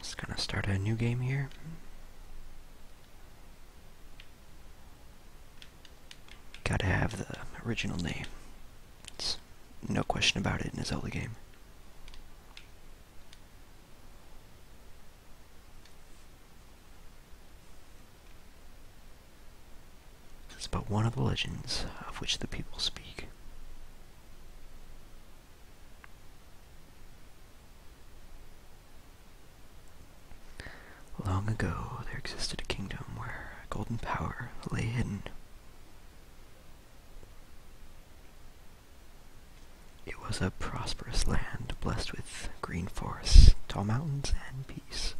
Just gonna start a new game here. Gotta have the original name. no question about it in a Zelda game. It's but one of the legends of which the people speak. Long ago, there existed a kingdom where a golden power lay hidden. It was a prosperous land blessed with green forests, tall mountains, and peace.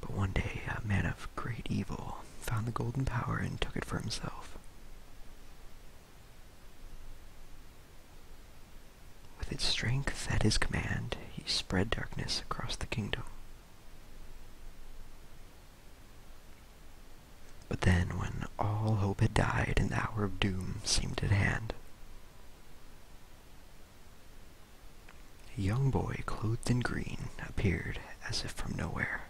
But one day, a man of great evil found the golden power and took it for himself. With its strength at his command, he spread darkness across the kingdom. But then, when all hope had died and the hour of doom seemed at hand, a young boy clothed in green appeared as if from nowhere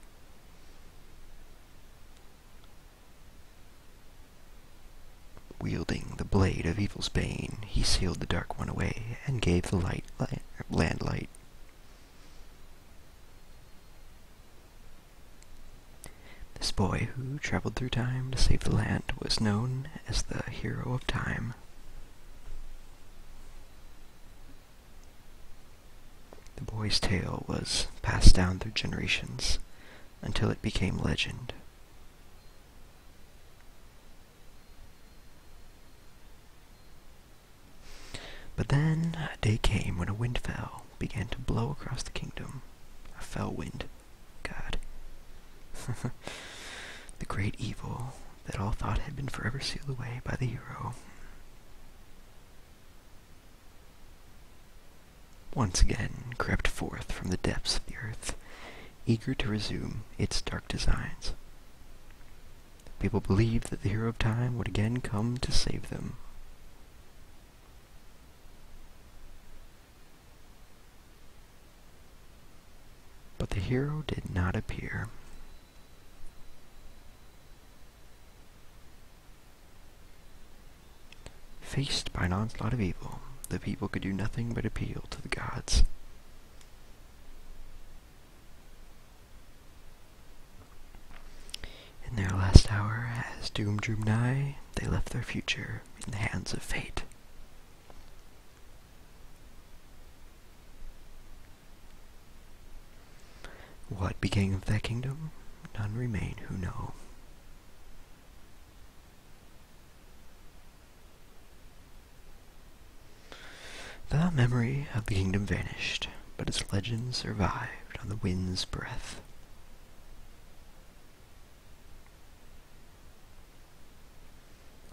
Wielding the blade of evil's bane, he sealed the dark one away and gave the light land light. This boy who traveled through time to save the land was known as the hero of time. The boy's tale was passed down through generations until it became legend. But then a day came when a wind fell, began to blow across the kingdom. A fell wind. God. the great evil that all thought had been forever sealed away by the hero. Once again crept forth from the depths of the earth, eager to resume its dark designs. People believed that the hero of time would again come to save them. But the hero did not appear. Faced by an onslaught of evil, the people could do nothing but appeal to the gods. In their last hour, as doom drew nigh, they left their future in the hands of fate. What became of that kingdom? None remain who know. The memory of the kingdom vanished, but its legend survived on the wind's breath.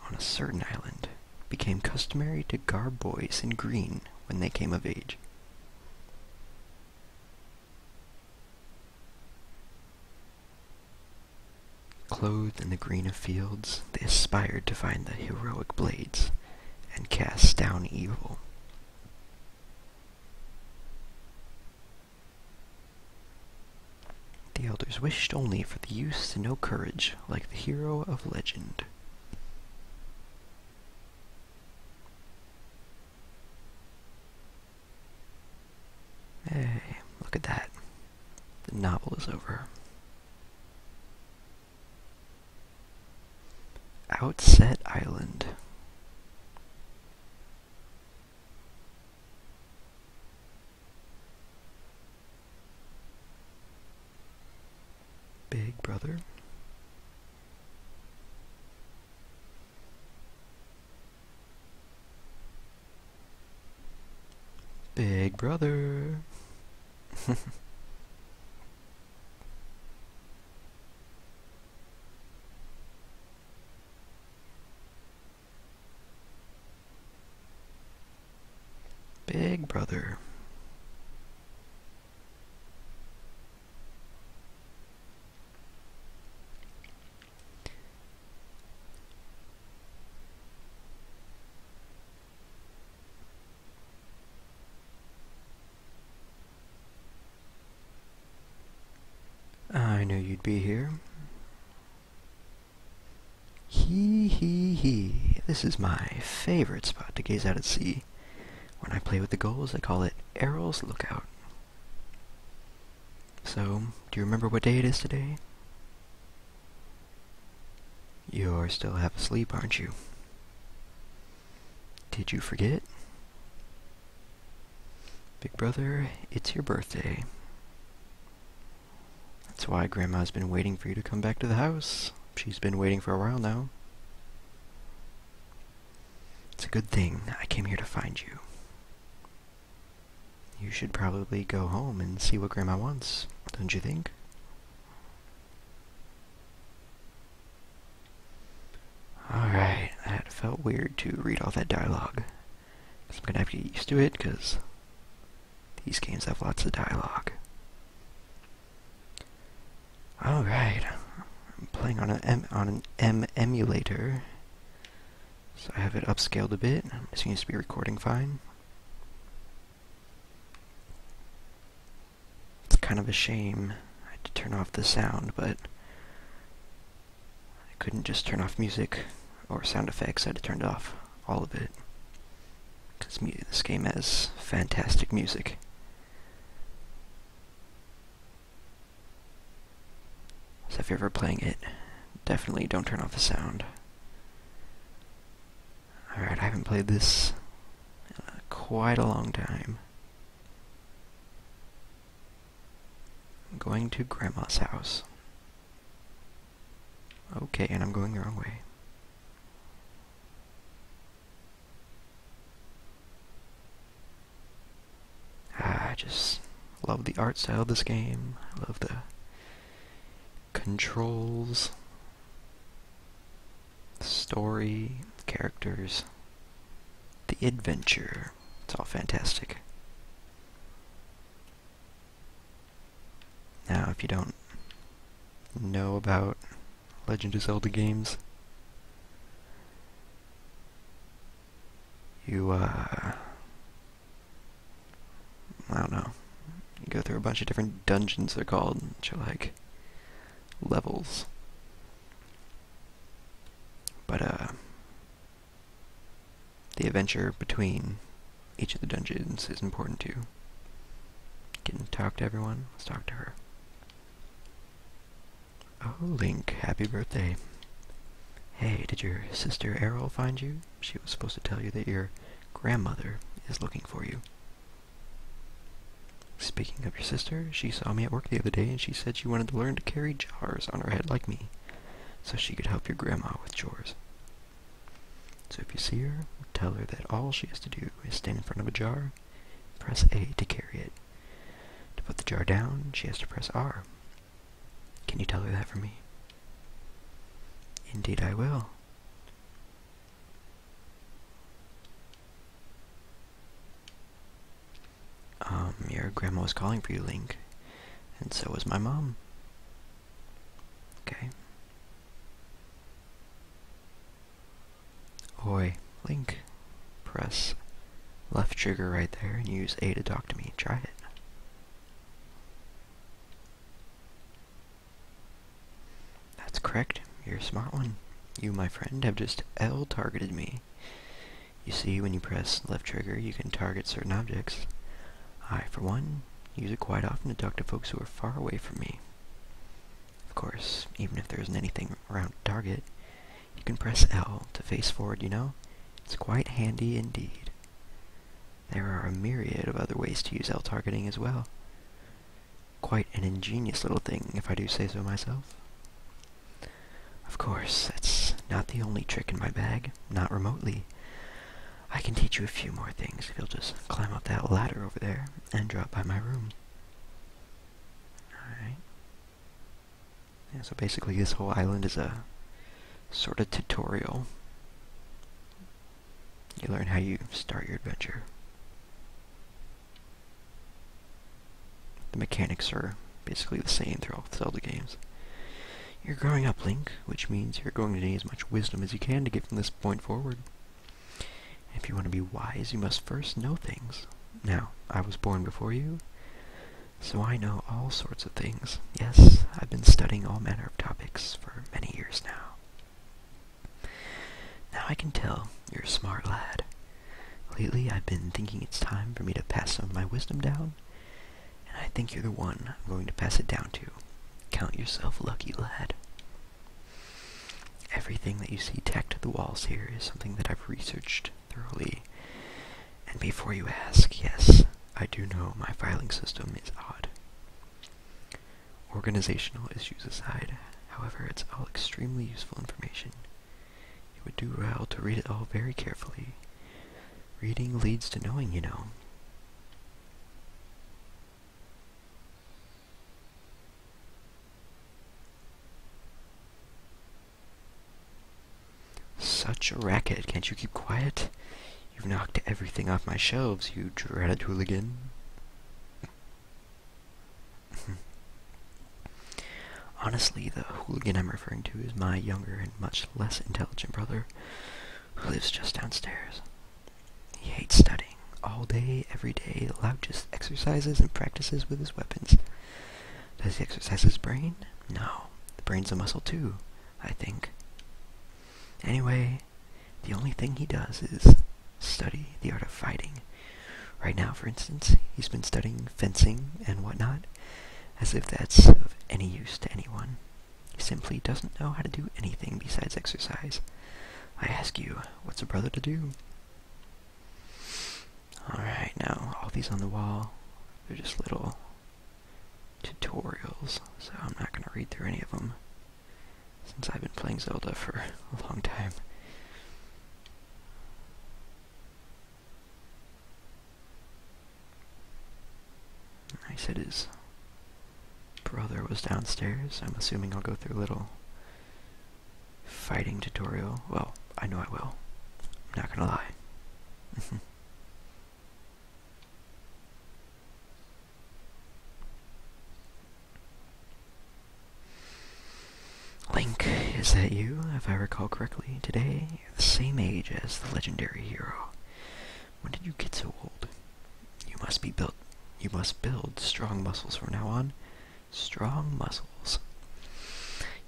On a certain island, became customary to garb boys in green when they came of age. Clothed in the green of fields, they aspired to find the heroic blades and cast down evil. The elders wished only for the youth to know courage like the hero of legend. Hey, look at that. The novel is over. Outset Island. Big brother. Big brother. Big brother. I knew you'd be here. Hee hee hee, this is my favorite spot to gaze out at sea. When I play with the goals, I call it Errol's Lookout. So, do you remember what day it is today? You're still half asleep, aren't you? Did you forget? Big brother, it's your birthday. That's why Grandma's been waiting for you to come back to the house. She's been waiting for a while now. It's a good thing I came here to find you. You should probably go home and see what Grandma wants, don't you think? Alright, that felt weird to read all that dialogue. I'm gonna have to get used to it, because these games have lots of dialogue. Alright, I'm playing on, an M emulator. So I have it upscaled a bit. It seems to be recording fine. It's kind of a shame I had to turn off the sound, but I couldn't just turn off music or sound effects. I had to turn off all of it. Because this game has fantastic music. So if you're ever playing it, definitely don't turn off the sound. Alright, I haven't played this quite a long time. I'm going to Grandma's house. Okay, and I'm going the wrong way. Ah, I just love the art style of this game. I love the controls, the story, the characters, the adventure. It's all fantastic. Now, if you don't know about Legend of Zelda games, you, uh, I don't know, go through a bunch of different dungeons, they're called, which are like levels. But, uh, the adventure between each of the dungeons is important too. Getting to talk to everyone. Let's talk to her. Oh, Link, happy birthday. Hey, did your sister Errol find you? She was supposed to tell you that your grandmother is looking for you. Speaking of your sister, she saw me at work the other day and she said she wanted to learn to carry jars on her head like me, so she could help your grandma with chores. So if you see her, tell her that all she has to do is stand in front of a jar, press A to carry it. To put the jar down, she has to press R. Can you tell her that for me? Indeed I will. Um, your grandma was calling for you, Link. And so was my mom. Okay. Oi, Link. Press left trigger right there and use A to talk to me. Try it. That's correct. You're a smart one. You, my friend, have just L-targeted me. You see, when you press left trigger, you can target certain objects. I, for one, use it quite often to talk to folks who are far away from me. Of course, even if there isn't anything around target, you can press L to face forward, you know? It's quite handy indeed. There are a myriad of other ways to use L targeting as well. Quite an ingenious little thing, if I do say so myself. Of course, that's not the only trick in my bag, not remotely. I can teach you a few more things if you'll just climb up that ladder over there and drop by my room. Alright. so basically this whole island is a sort of tutorial. You learn how you start your adventure. The mechanics are basically the same throughout the Zelda games. You're growing up, Link, which means you're going to need as much wisdom as you can to get from this point forward. If you want to be wise, you must first know things. Now, I was born before you, so I know all sorts of things. Yes, I've been studying all manner of topics for many years now. Now I can tell you're a smart lad. Lately, I've been thinking it's time for me to pass some of my wisdom down, and I think you're the one I'm going to pass it down to. Count yourself lucky, lad. Everything that you see tacked to the walls here is something that I've researched thoroughly. And before you ask, yes, I do know my filing system is odd. Organizational issues aside, however, it's all extremely useful information. It would do well to read it all very carefully. Reading leads to knowing, you know. Such a racket. Can't you keep quiet? You've knocked everything off my shelves, you dreaded hooligan. Honestly, the hooligan I'm referring to is my younger and much less intelligent brother, who lives just downstairs. He hates studying. All day, every day, loudest exercises and practices with his weapons. Does he exercise his brain? No. The brain's a muscle too, I think. Anyway, the only thing he does is study the art of fighting. Right now, for instance, he's been studying fencing and whatnot, as if that's of any use to anyone simply doesn't know how to do anything besides exercise. I ask you, what's a brother to do? Alright, now, all these on the wall, they're just little tutorials, so I'm not going to read through any of them, since I've been playing Zelda for a long time. Nice it is brother was downstairs. I'm assuming I'll go through a little fighting tutorial. Well, I know I will. I'm not gonna lie. Link, is that you? If I recall correctly, today, the same age as the legendary hero. When did you get so old? You must be built. You must build strong muscles from now on. Strong muscles.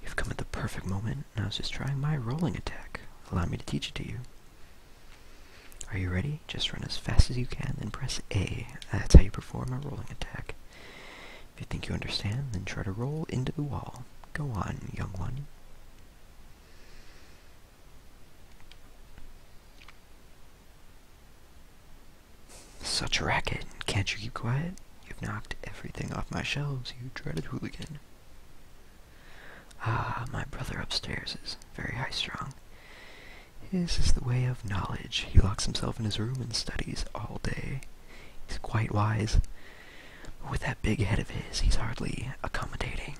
You've come at the perfect moment, and I was just trying my rolling attack. Allow me to teach it to you. Are you ready? Just run as fast as you can, then press A. That's how you perform a rolling attack. If you think you understand, then try to roll into the wall. Go on, young one. Such a racket. Can't you keep quiet? You've knocked everything off my shelves, you dreaded hooligan. Ah, my brother upstairs is very high-strung. His is the way of knowledge. He locks himself in his room and studies all day. He's quite wise. But with that big head of his, he's hardly accommodating.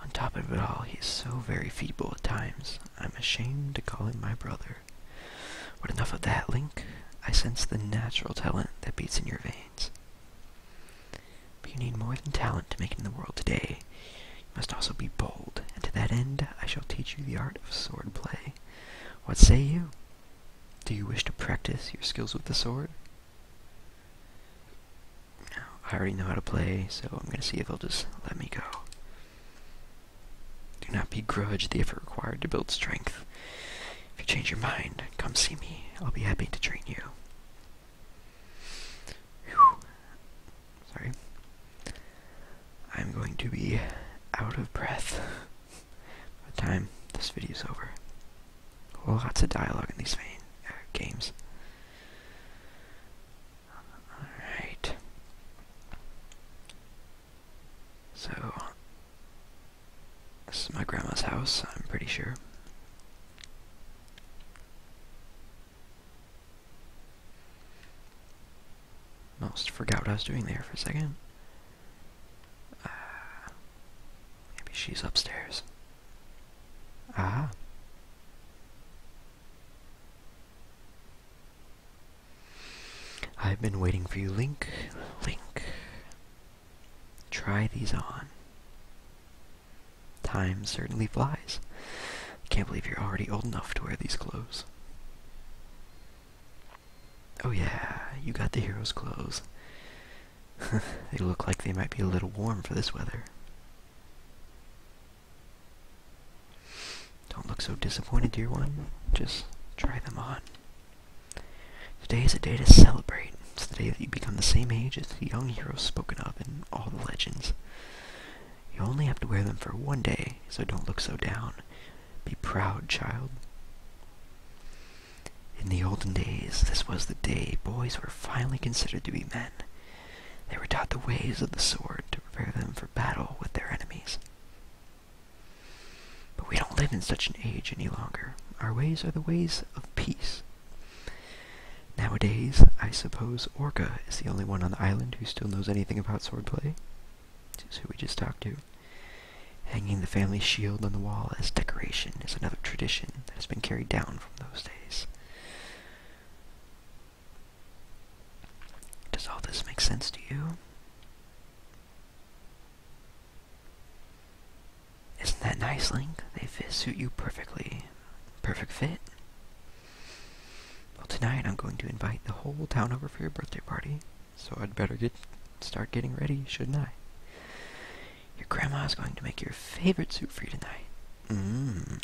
On top of it all, he is so very feeble at times, I'm ashamed to call him my brother. But enough of that, Link. I sense the natural talent that beats in your veins. But you need more than talent to make it in the world today. You must also be bold, and to that end I shall teach you the art of sword play. What say you? Do you wish to practice your skills with the sword? I already know how to play, so I'm going to see if they'll just let me go. Do not begrudge the effort required to build strength. If you change your mind, come see me. I'll be happy to train you. Sorry. I'm going to be out of breath by the time this video is over. Well, lots of dialogue in these uh, games. Alright. So, this is my grandma's house, I'm pretty sure. Almost forgot what I was doing there for a second. Uh, maybe she's upstairs. Ah. I've been waiting for you, Link. Link. Try these on. Time certainly flies. can't believe you're already old enough to wear these clothes. Oh yeah, you got the hero's clothes. they look like they might be a little warm for this weather. Don't look so disappointed, dear one. Just try them on. Today is a day to celebrate. It's the day that you become the same age as the young heroes spoken of in all the legends. You only have to wear them for one day, so don't look so down. Be proud, child. In the olden days, this was the day boys were finally considered to be men, they were taught the ways of the sword to prepare them for battle with their enemies. But we don't live in such an age any longer. Our ways are the ways of peace. Nowadays, I suppose Orca is the only one on the island who still knows anything about swordplay. This is who we just talked to. Hanging the family shield on the wall as decoration is another tradition that has been carried down from those days. Does all this make sense to you? Isn't that nice, Link? They fit, suit you perfectly. Perfect fit. Well, tonight I'm going to invite the whole town over for your birthday party, so I'd better get start getting ready, shouldn't I? Your grandma's going to make your favorite soup for you tonight. Mm.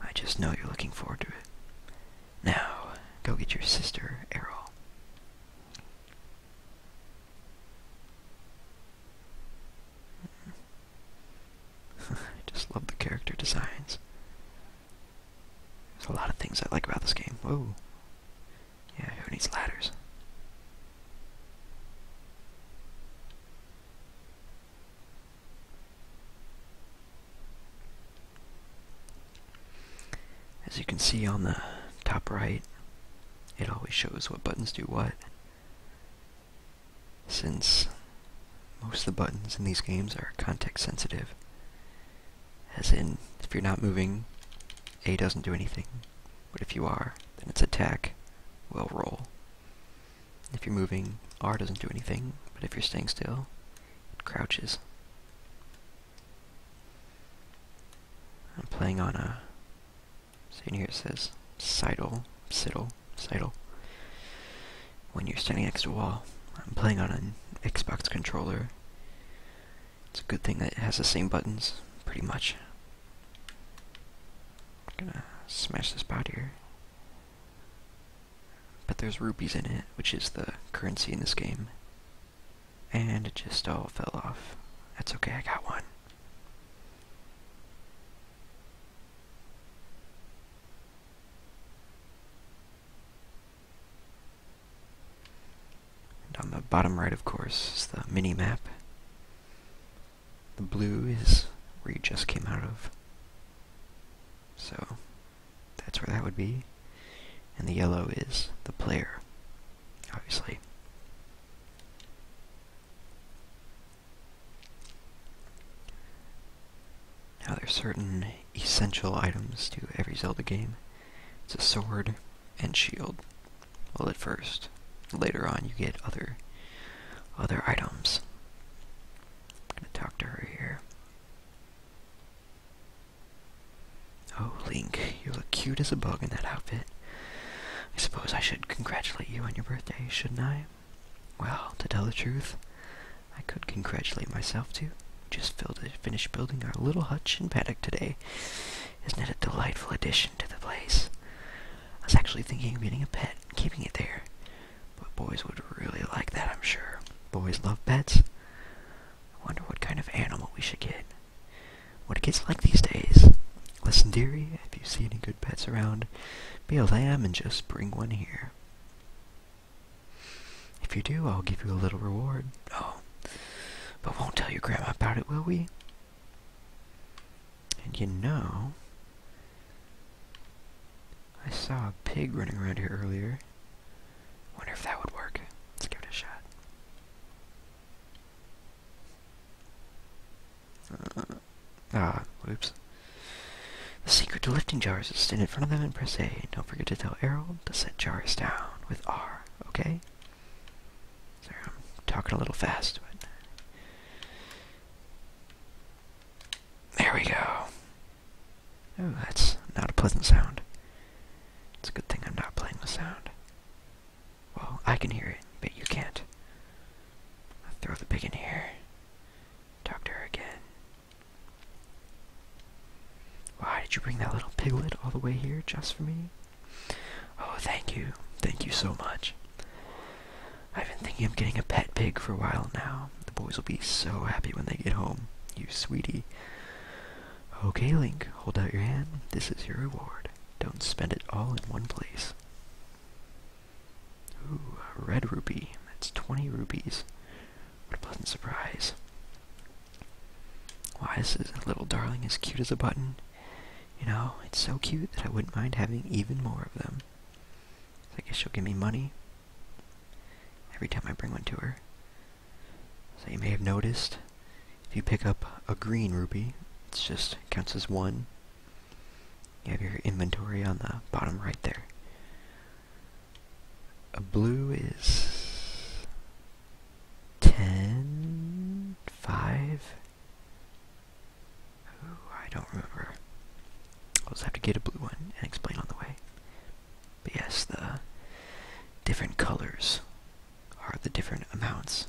I just know you're looking forward to it. Now, go get your sister, Errol. I just love the character designs. There's a lot of things I like about this game. Whoa. Yeah, who needs ladders? As you can see on the top right, it always shows what buttons do what. Since most of the buttons in these games are context sensitive, as in, if you're not moving, A doesn't do anything, but if you are, then it's attack, will roll. If you're moving, R doesn't do anything, but if you're staying still, it crouches. I'm playing on a, so in here it says sidle, sidle, sidle. When you're standing next to a wall, I'm playing on an Xbox controller. It's a good thing that it has the same buttons, pretty much. I'm gonna smash this pot here. But there's rupees in it, which is the currency in this game. And it just all fell off. That's okay, I got one. on the bottom right, of course, is the mini map. The blue is where you just came out of. So that's where that would be. And the yellow is the player, obviously. Now there's certain essential items to every Zelda game. It's a sword and shield, well, at first. Later on, you get other other items. gonna talk to her here. Oh, Link, you look cute as a bug in that outfit. I suppose I should congratulate you on your birthday, shouldn't I? Well, to tell the truth, I could congratulate myself too. Just finished building our little hutch and paddock today. Isn't it a delightful addition to the place? I was actually thinking of getting a pet and keeping it there. But boys would really like that, I'm sure. Boys love pets. I wonder what kind of animal we should get. What it gets like these days. Listen, dearie, if you see any good pets around, be a lamb and just bring one here. If you do, I'll give you a little reward. Oh, but won't tell your grandma about it, will we? And you know, I saw a pig running around here earlier. Wonder if that would work. Let's give it a shot. Uh, ah, whoops. The secret to lifting jars is stand in front of them and press A. And don't forget to tell Errol to set jars down with R, okay? Sorry, I'm talking a little fast, but there we go. Oh, that's not a pleasant sound. It's a good thing I'm not playing the sound. Well, I can hear it, but you can't. throw the pig in here. Talk to her again. Why did you bring that little piglet all the way here just for me? Oh, thank you. Thank you so much. I've been thinking of getting a pet pig for a while now. The boys will be so happy when they get home. You sweetie. Okay, Link, hold out your hand. This is your reward. Don't spend it all in one place. Ooh, a red rupee. That's 20 rupees. What a pleasant surprise. Why, this is a little darling as cute as a button. You know, it's so cute that I wouldn't mind having even more of them. So I guess she'll give me money every time I bring one to her. So you may have noticed, if you pick up a green rupee, it just counts as one. You have your inventory on the bottom right there. A blue is ten five. I don't remember. I'll just have to get a blue one and explain on the way. But yes, the different colors are the different amounts.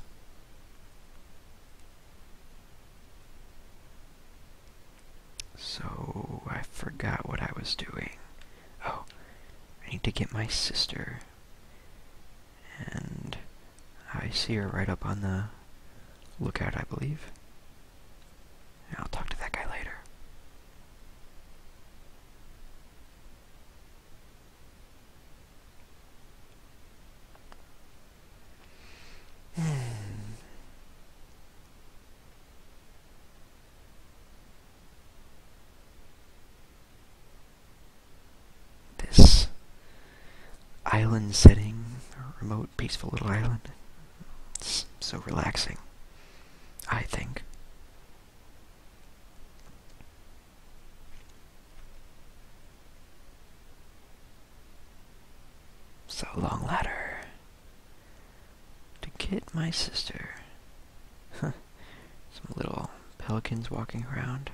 So I forgot what I was doing. Oh, I need to get my sister and I see her right up on the lookout, I believe. I'll talk to that guy later. Hmm this island setting, remote, peaceful little island. It's so relaxing, I think. So long ladder to get my sister. Some little pelicans walking around.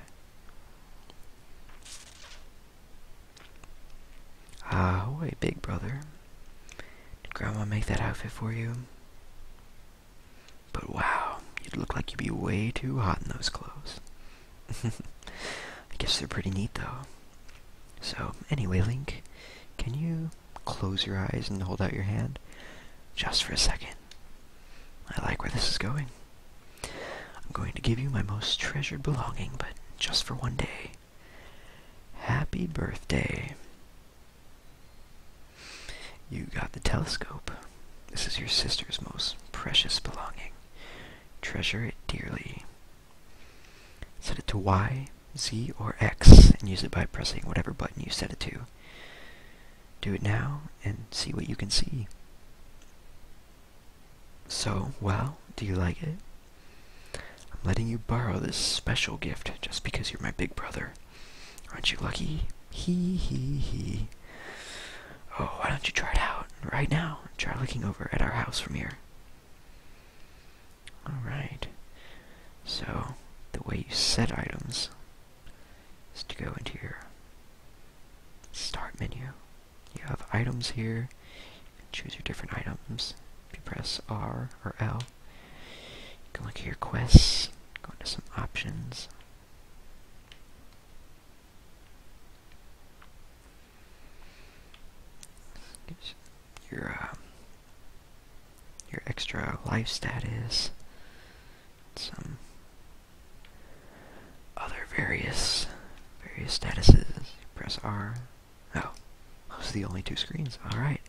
Ahoy, big brother. Did Grandma make that outfit for you? But wow, you'd look like you'd be way too hot in those clothes. I guess they're pretty neat, though. So, anyway, Link, can you close your eyes and hold out your hand? Just for a second. I like where this is going. I'm going to give you my most treasured belonging, but just for one day. Happy birthday. You got the telescope. This is your sister's most precious belonging. Treasure it dearly. Set it to Y, Z, or X, and use it by pressing whatever button you set it to. Do it now and see what you can see. So, well, do you like it? I'm letting you borrow this special gift just because you're my big brother. Aren't you lucky? He he he. Oh, why don't you try it out right now? Try looking over at our house from here. Alright. So, the way you set items is to go into your start menu. You have items here. choose your different items. If you press R or L, you can look at your quests, go into some options. Your, um, your extra life status, some other various various statuses. press R. Oh, those are the only two screens. All right.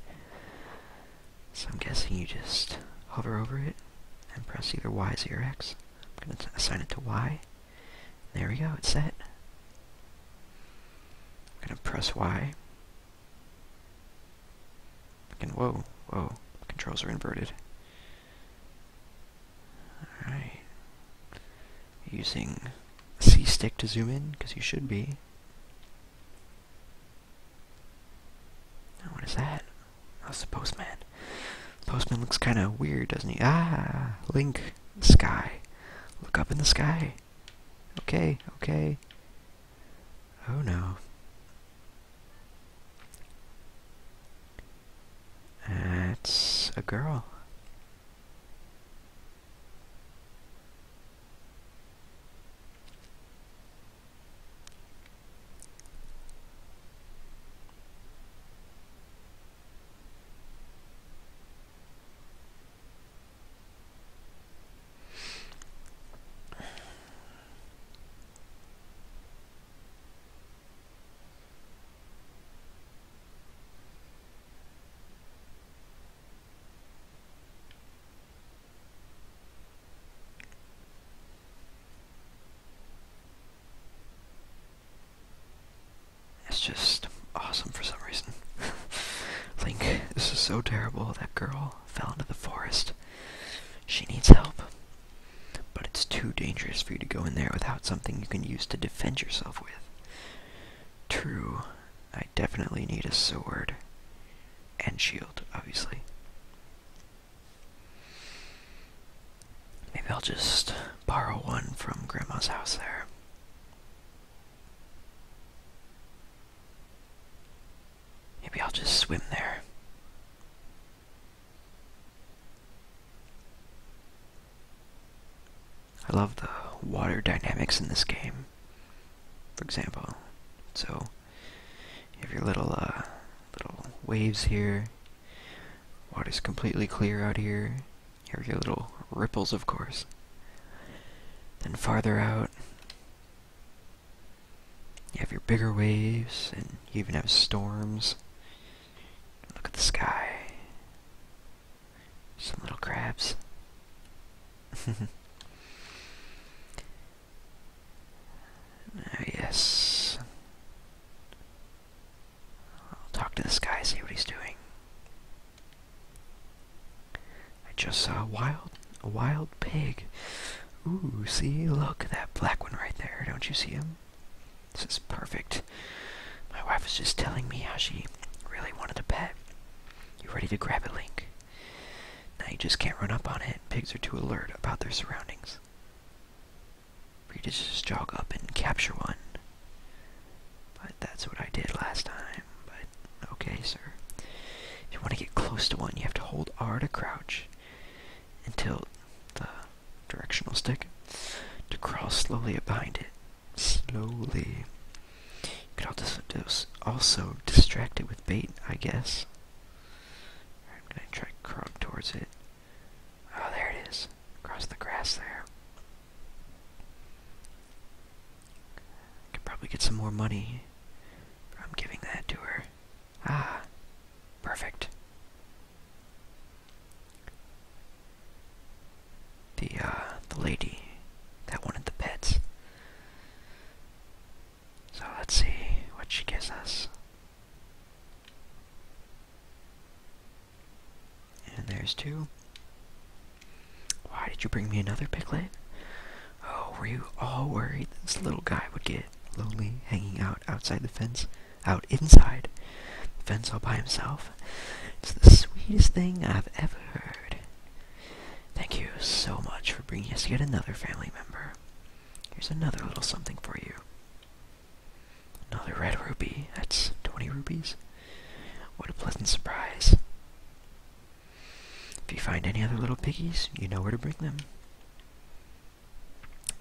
So I'm guessing you just hover over it and press either Y or X. I'm going to assign it to Y. There we go, it's set. I'm going to press Y. And whoa, whoa, controls are inverted. Alright. Using C stick to zoom in, because you should be. Now what is that? That's oh, the postman. Postman looks kind of weird, doesn't he? Ah, Link, sky. Look up in the sky. Okay, okay. Oh no. That's a girl. It's just awesome for some reason. Link, this is so terrible. That girl fell into the forest. She needs help. But it's too dangerous for you to go in there without something you can use to defend yourself with. True, I definitely need a sword. And shield, obviously. Maybe I'll just borrow one from Grandma's house there. Maybe I'll just swim there. I love the water dynamics in this game, for example. So, you have your little, uh, little waves here, Water is completely clear out here, you have your little ripples, of course. Then farther out, you have your bigger waves, and you even have storms. Look at the sky. Some little crabs. oh, yes. I'll talk to this guy, see what he's doing. I just saw a wild, a wild pig. Ooh, see, look, that black one right there. Don't you see him? This is perfect. My wife is just telling me how she really wanted a pet. You ready to grab it, Link? Now you just can't run up on it. Pigs are too alert about their surroundings. we you just jog up and capture one. But that's what I did last time. But okay, sir. If you want to get close to one, you have to hold R to crouch until the directional stick to crawl slowly behind it. Slowly. could also distract it with bait, I guess. I'm gonna try to crawling towards it. Oh, there it is. Across the grass there. I Could probably get some more money. I'm giving that to her. Ah, perfect. The, uh, the lady that wanted the pets. So let's see what she gives us. And there's two. Why did you bring me another piglet? Oh, were you all worried this little guy would get lonely hanging out outside the fence? out inside the fence by himself. It's the sweetest thing I've ever heard. Thank you so much for bringing us yet another family member. Here's another little something for you. Another red ruby. That's 20 rupees. What a pleasant surprise. If you find any other little piggies, you know where to bring them.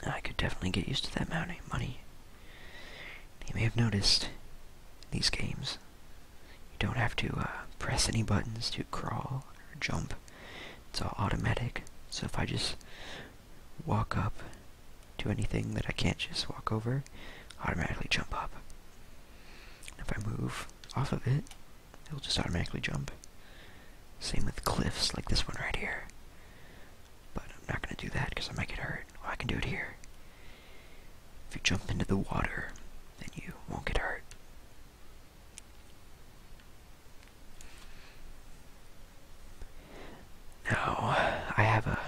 I could definitely get used to that amount money. You may have noticed, these games, you don't have to uh, press any buttons to crawl or jump. It's all automatic. So if I just walk up to anything that I can't just walk over, automatically jump up. If I move off of it, it'll just automatically jump. Same with cliffs like this one right here. But I'm not gonna do that because I might get hurt. I can do it here. If you jump into the water, then you won't get hurt. Now, I have a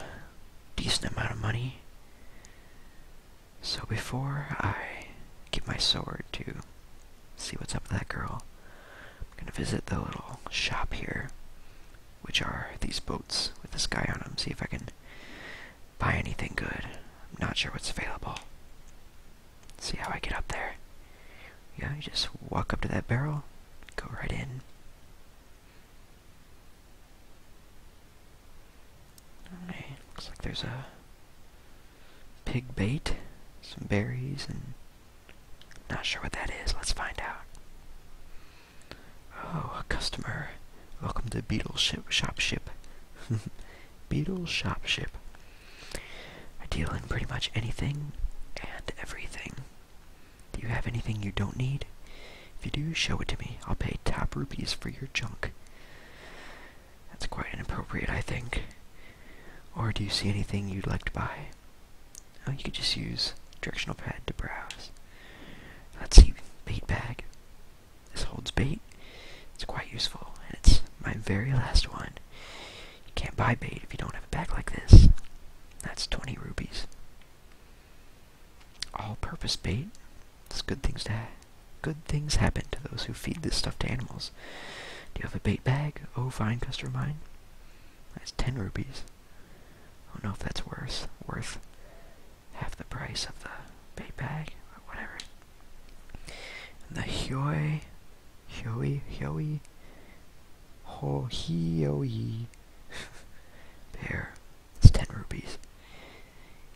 decent amount of money. So before I get my sword to see what's up with that girl. I'm gonna visit the little shop here, which are these boats with this guy on them, see if I can buy anything good. I'm not sure what's available. see how I get up there. Yeah, you just walk up to that barrel, go right in. looks like there's a pig bait, some berries, and not sure what that is. Let's find out. Oh, a customer. Welcome to Beetle Shop Ship. Beetle Shop Ship. I deal in pretty much anything and everything. Do you have anything you don't need? If you do, show it to me. I'll pay top rupees for your junk. That's quite inappropriate, I think. Or do you see anything you'd like to buy? Oh, you could just use directional pad to browse. Let's see, bait bag. This holds bait. It's quite useful, and it's my very last one. You can't buy bait if you don't have a bag like this. That's 20 rupees. All-purpose bait. It's good things to Good things happen to those who feed this stuff to animals. Do you have a bait bag? Oh, fine, customer mine. That's 10 rupees. I don't know if that's worth, worth half the price of the bait bag, or whatever. And the Hyoi, Hyoi, Hyoi, Ho, Hyoi bear. It's 10 rupees.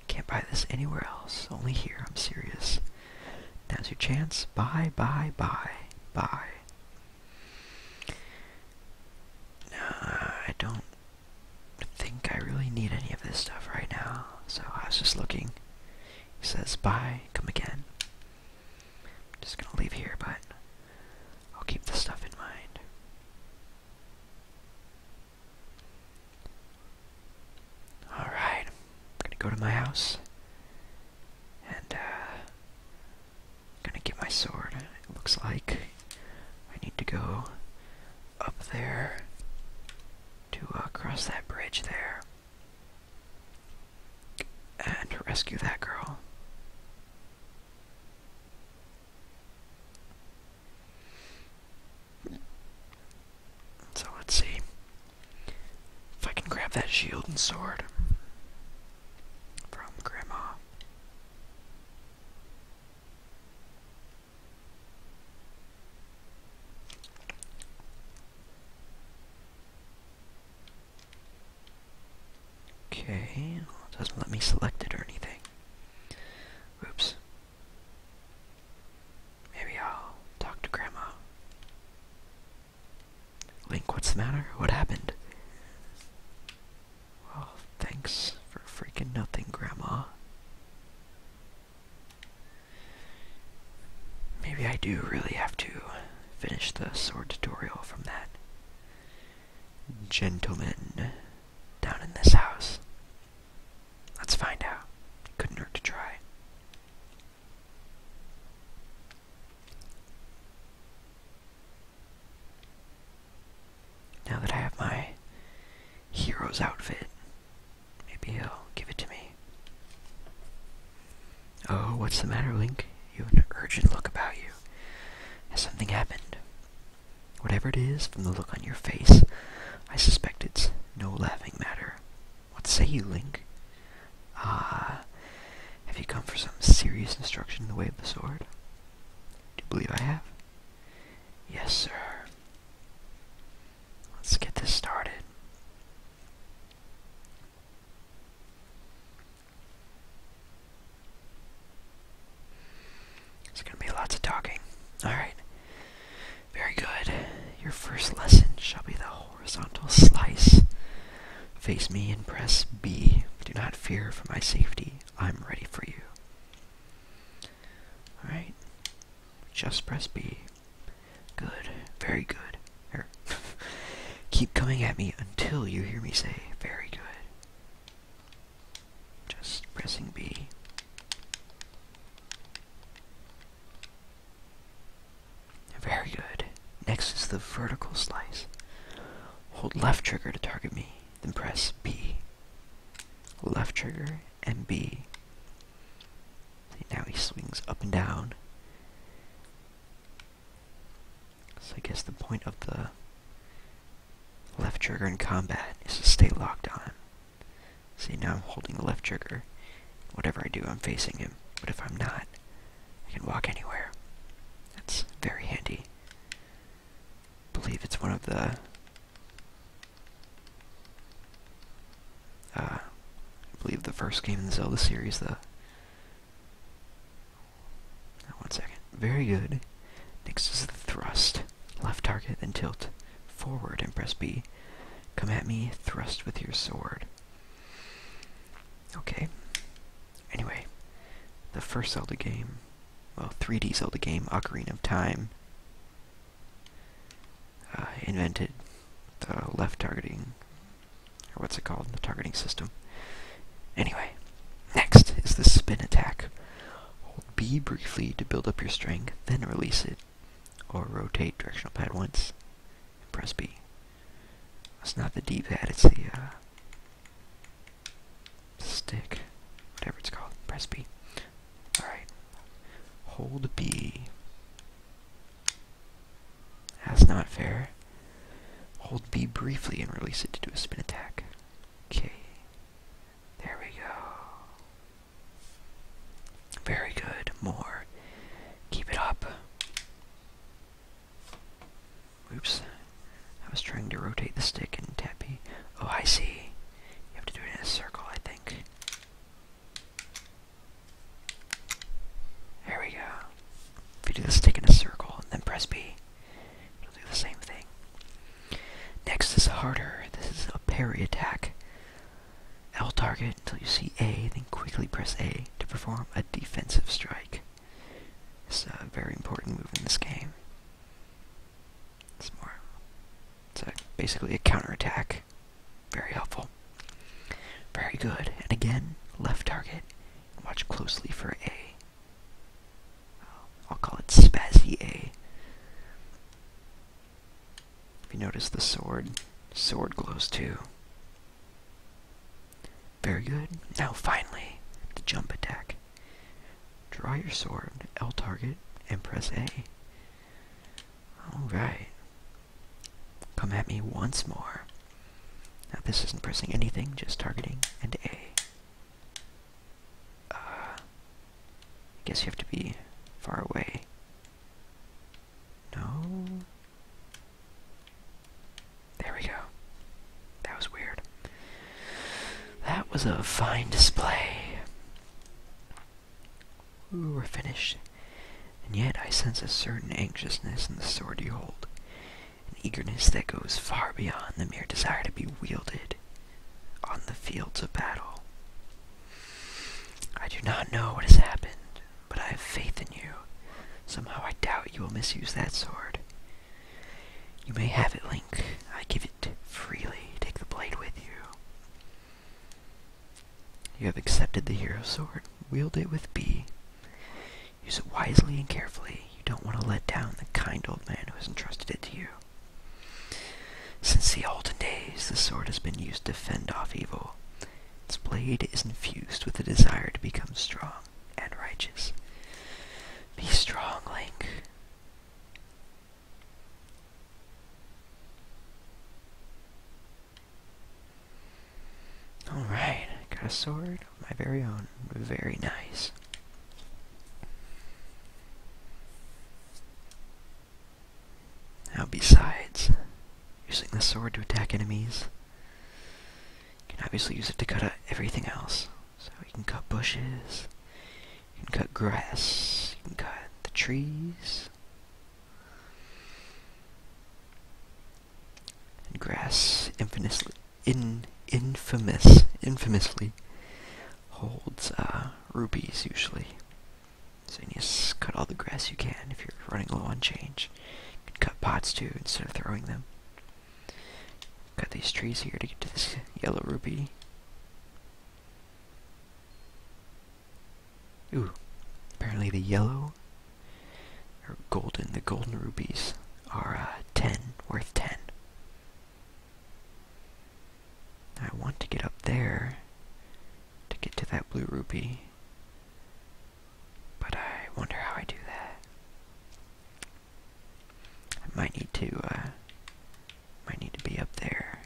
Can't buy this anywhere else, only here, I'm serious. Now's your chance. Buy, buy, buy, buy. Uh, I don't think I really need any of this stuff right now, so I was just looking. He says, bye, come again. I'm just gonna leave here, but I'll keep this stuff in mind. Alright, I'm gonna go to my house, and, uh, I'm gonna get my sword. It looks like I need to go up there to uh, cross that bridge there and rescue that girl. So let's see. If I can grab that shield and sword from Grandma. Okay, doesn't let me select it or anything. Oops. Maybe I'll talk to Grandma. Link, what's the matter? What happened? Well, thanks for freaking nothing, Grandma. Maybe I do really have to finish the sword tutorial from that gentleman down in this house. Let's find out. Couldn't hurt to try. Now that I have my hero's outfit, maybe he'll give it to me. Oh, what's the matter, Link? You have an urgent look about you. Has something happened? Whatever it is, from the look on your face, I suspect it's no laughing matter. What say you, Link? Ah, have you come for some serious instruction in the way of the sword? Do you believe I have? Yes, sir. Let's get this started. There's going to be lots of talking. Alright. Very good. Your first lesson shall be the whole horizontal slice. Face me and press B. Do not fear for my safety. I'm ready for you. Alright. Just press B. Good. Very good. Er, keep coming at me until you hear me say, very good. Just pressing B. Very good. Next is the vertical slice. Hold left trigger to target me, then press B. Left trigger and B. Now he swings up and down. So I guess the point of the left trigger in combat is to stay locked on. See, now I'm holding the left trigger. Whatever I do, I'm facing him. But if I'm not, I can walk anywhere. That's very handy. I believe it's one of the uh, I believe the first game in the Zelda series, the One second. Very good. Next is the thrust. Left target, then tilt forward and press B. Come at me, thrust with your sword. Okay. Anyway, the first Zelda game, well, 3D Zelda game, Ocarina of Time, uh, invented the left targeting, or what's it called, the targeting system. Anyway, next is the spin attack. Hold B briefly to build up your string, then release it, or rotate directional pad once, and press B. It's not the D-pad, it's the, uh, stick, whatever it's called. Press B. Alright. Hold B. That's not fair. Hold B briefly and release it to do a spin attack. Okay. There we go. Very good. More. Keep it up. Oops. I was trying to rotate the stick and tap B. Oh, I see. You have to do it in a circle, I think. There we go. If you do the stick in a circle and then press B, it'll do the same thing. Next is harder. This is a parry attack. L target until you see A, then quickly press A to perform a defensive strike. It's a very important move in this game. It's more, it's a, basically a counterattack. Very helpful. Very good. And again, left target. watch closely for A. I'll call it Spazzy A. If you notice the sword, sword glows too. Very good. Now finally, the jump attack. Draw your sword, L target, and press A. Alright. Come at me once more. Now this isn't pressing anything, just targeting and A. Uh, I guess you have to be far away. No. There we go. That was weird. That was a fine display. Ooh, we're finished. And yet I sense a certain anxiousness in the sword you hold, an eagerness that goes far beyond the mere desire to be wielded on the fields of battle. I do not know what has happened, but I have faith in you. Somehow I doubt you will misuse that sword. You may have it, Link. I give it freely. Take the blade with you. You have accepted the hero sword. Wield it with B. Use it wisely and carefully. You don't want to let down the kind old man who has entrusted it to you. Since the olden days, the sword has been used to fend off evil. Its blade is infused with the desire to become strong and righteous. Be strong, Link. Alright, got a sword of my very own. Very nice. Now, besides Using the sword to attack enemies. You can obviously use it to cut out everything else. So you can cut bushes, you can cut grass, you can cut the trees. And grass infamously, in, infamous, infamously holds uh, rubies usually. So you need to cut all the grass you can if you're running low on change. You cut pots too instead of throwing them. Cut these trees here to get to this yellow ruby. Ooh, apparently the yellow or golden, the golden rubies are uh, 10, worth 10. I want to get up there to get to that blue ruby. But I wonder how I do that. I might need to, uh, might need to be up there.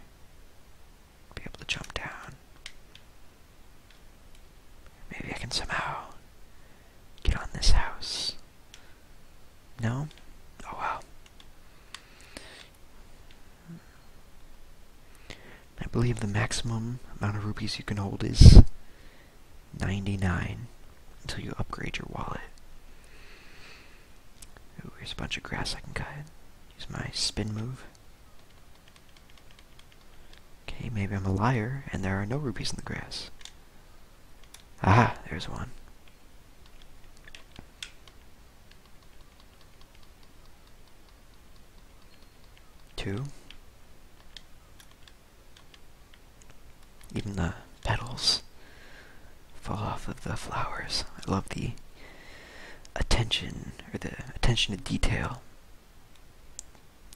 Be able to jump down. Maybe I can somehow get on this house. No? Oh well. I believe the maximum amount of rupees you can hold is 99 until you upgrade your wallet. Ooh, here's a bunch of grass I can cut. Use my spin move. Okay, maybe I'm a liar and there are no rupees in the grass. Ah, there's one. Two. Even the petals fall off of the flowers. I love the attention, or the attention to detail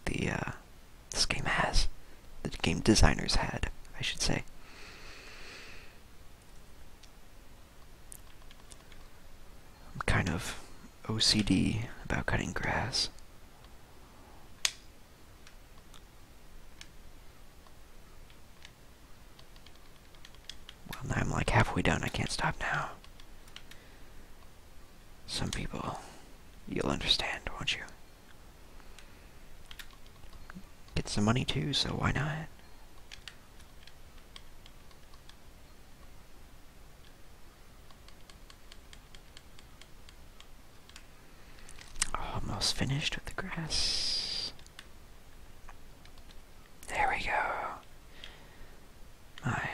the uh, this game has, the game designers had, I should say. I'm kind of OCD about cutting grass. Well, now I'm like halfway done. I can't stop now. Some people, you'll understand, won't you? Get some money too, so why not? Oh, almost finished with the grass. There we go. My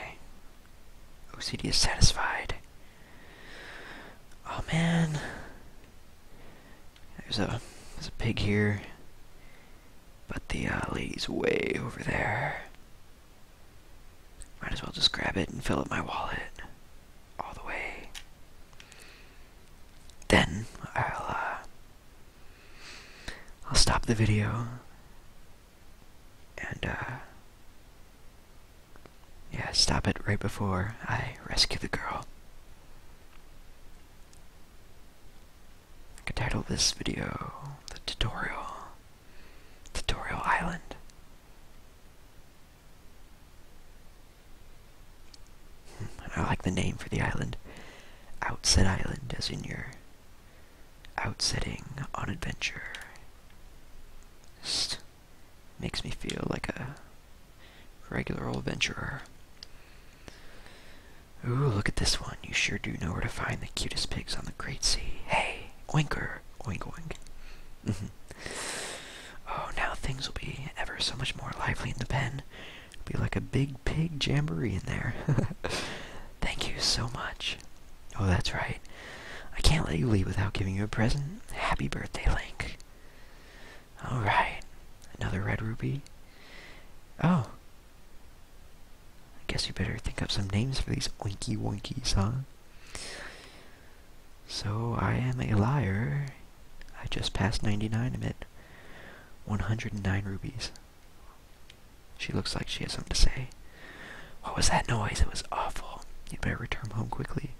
OCD is satisfied. Oh man. There's a there's a pig here. But the uh, lady's way over there. Might as well just grab it and fill up my wallet all the way. Then I'll uh, I'll stop the video and uh, yeah, stop it right before I rescue the girl. I could title this video the tutorial Tutorial Island. Hmm, I like the name for the island. Outset Island, as in your outsetting on adventure. makes me feel like a regular old adventurer. Ooh, look at this one. You sure do know where to find the cutest pigs on the Great Sea. Hey! Winker Oink wink. Mm-hmm. oh, now things will be ever so much more lively in the pen. It'll be like a big pig jamboree in there. Thank you so much. Oh, that's right. I can't let you leave without giving you a present. Happy birthday, Link. Alright. Another red ruby. Oh. I guess you better think up some names for these oinky wonkies, huh? So I am a liar. I just passed 99 amid 109 rubies. She looks like she has something to say. What was that noise? It was awful. You better return home quickly.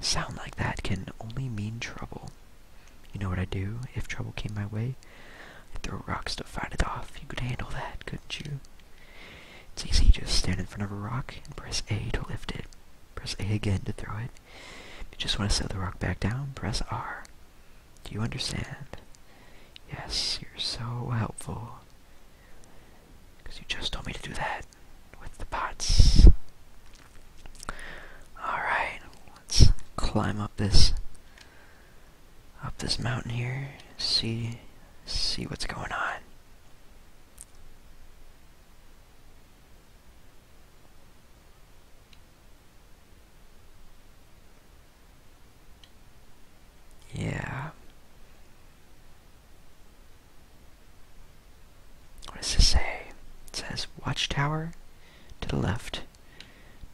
Sound like that can only mean trouble. You know what i do if trouble came my way? throw rocks to fight it off. You could handle that, couldn't you? It's easy, just stand in front of a rock and press A to lift it. Press A again to throw it. If you just want to set the rock back down, press R. Do you understand? Yes, you're so helpful. Because you just told me to do that with the pots. Alright, let's climb up this up this mountain here, see see what's going on. Yeah. What does this say? It says watchtower to the left,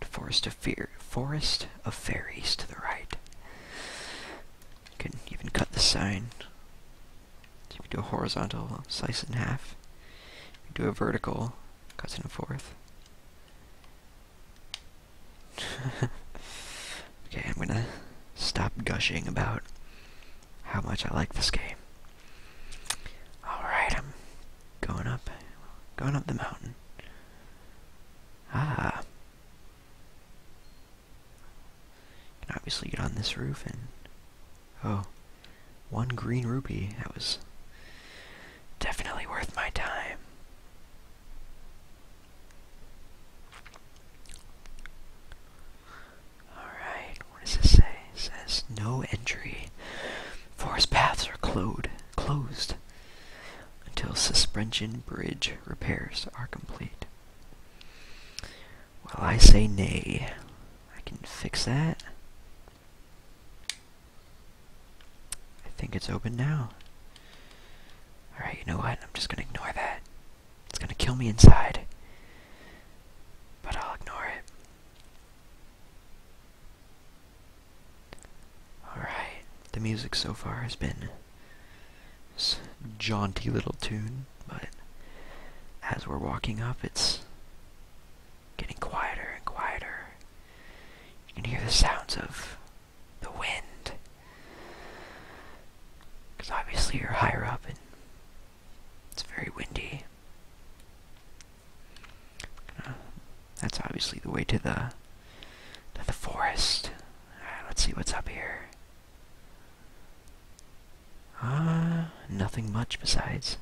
forest of fear, forest of fairies to the right. You can even cut the sign. you can do a horizontal, slice in half. You can do a vertical, cut in a fourth. okay, I'm gonna stop gushing about how much I like this game. Alright, I'm going up, going up the mountain. Ah, can obviously get on this roof and... Oh, one green rupee. That was definitely worth my time. Alright, what does this say? says, no entry. Forest paths are closed. Closed until suspension bridge repairs are complete. Well, I say nay. I can fix that. I think it's open now. Alright, you know what? I'm just gonna ignore that. It's gonna kill me inside. But I'll ignore it. Alright, the music so far has been this jaunty little tune, but as we're walking up, it's getting quieter and quieter. You can hear the sounds of the wind. Because obviously you're higher up and it's very windy. Uh, that's obviously the way to the to the forest. let's see what's up here. Ah, nothing much besides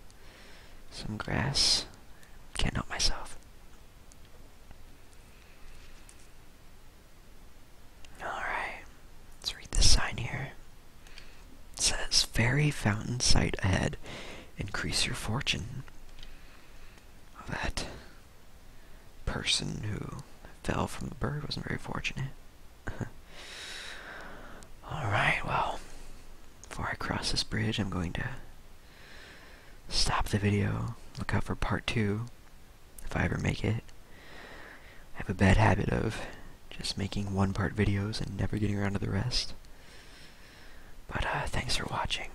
some grass. Can't help myself. Alright, let's read this sign here. It says, Fairy Fountain Sight Ahead. Increase your fortune. That person who fell from the bird wasn't very fortunate. Alright, well, before I cross this bridge, I'm going to stop the video, look out for part two, if I ever make it. I have a bad habit of just making one-part videos and never getting around to the rest. But uh, thanks for watching.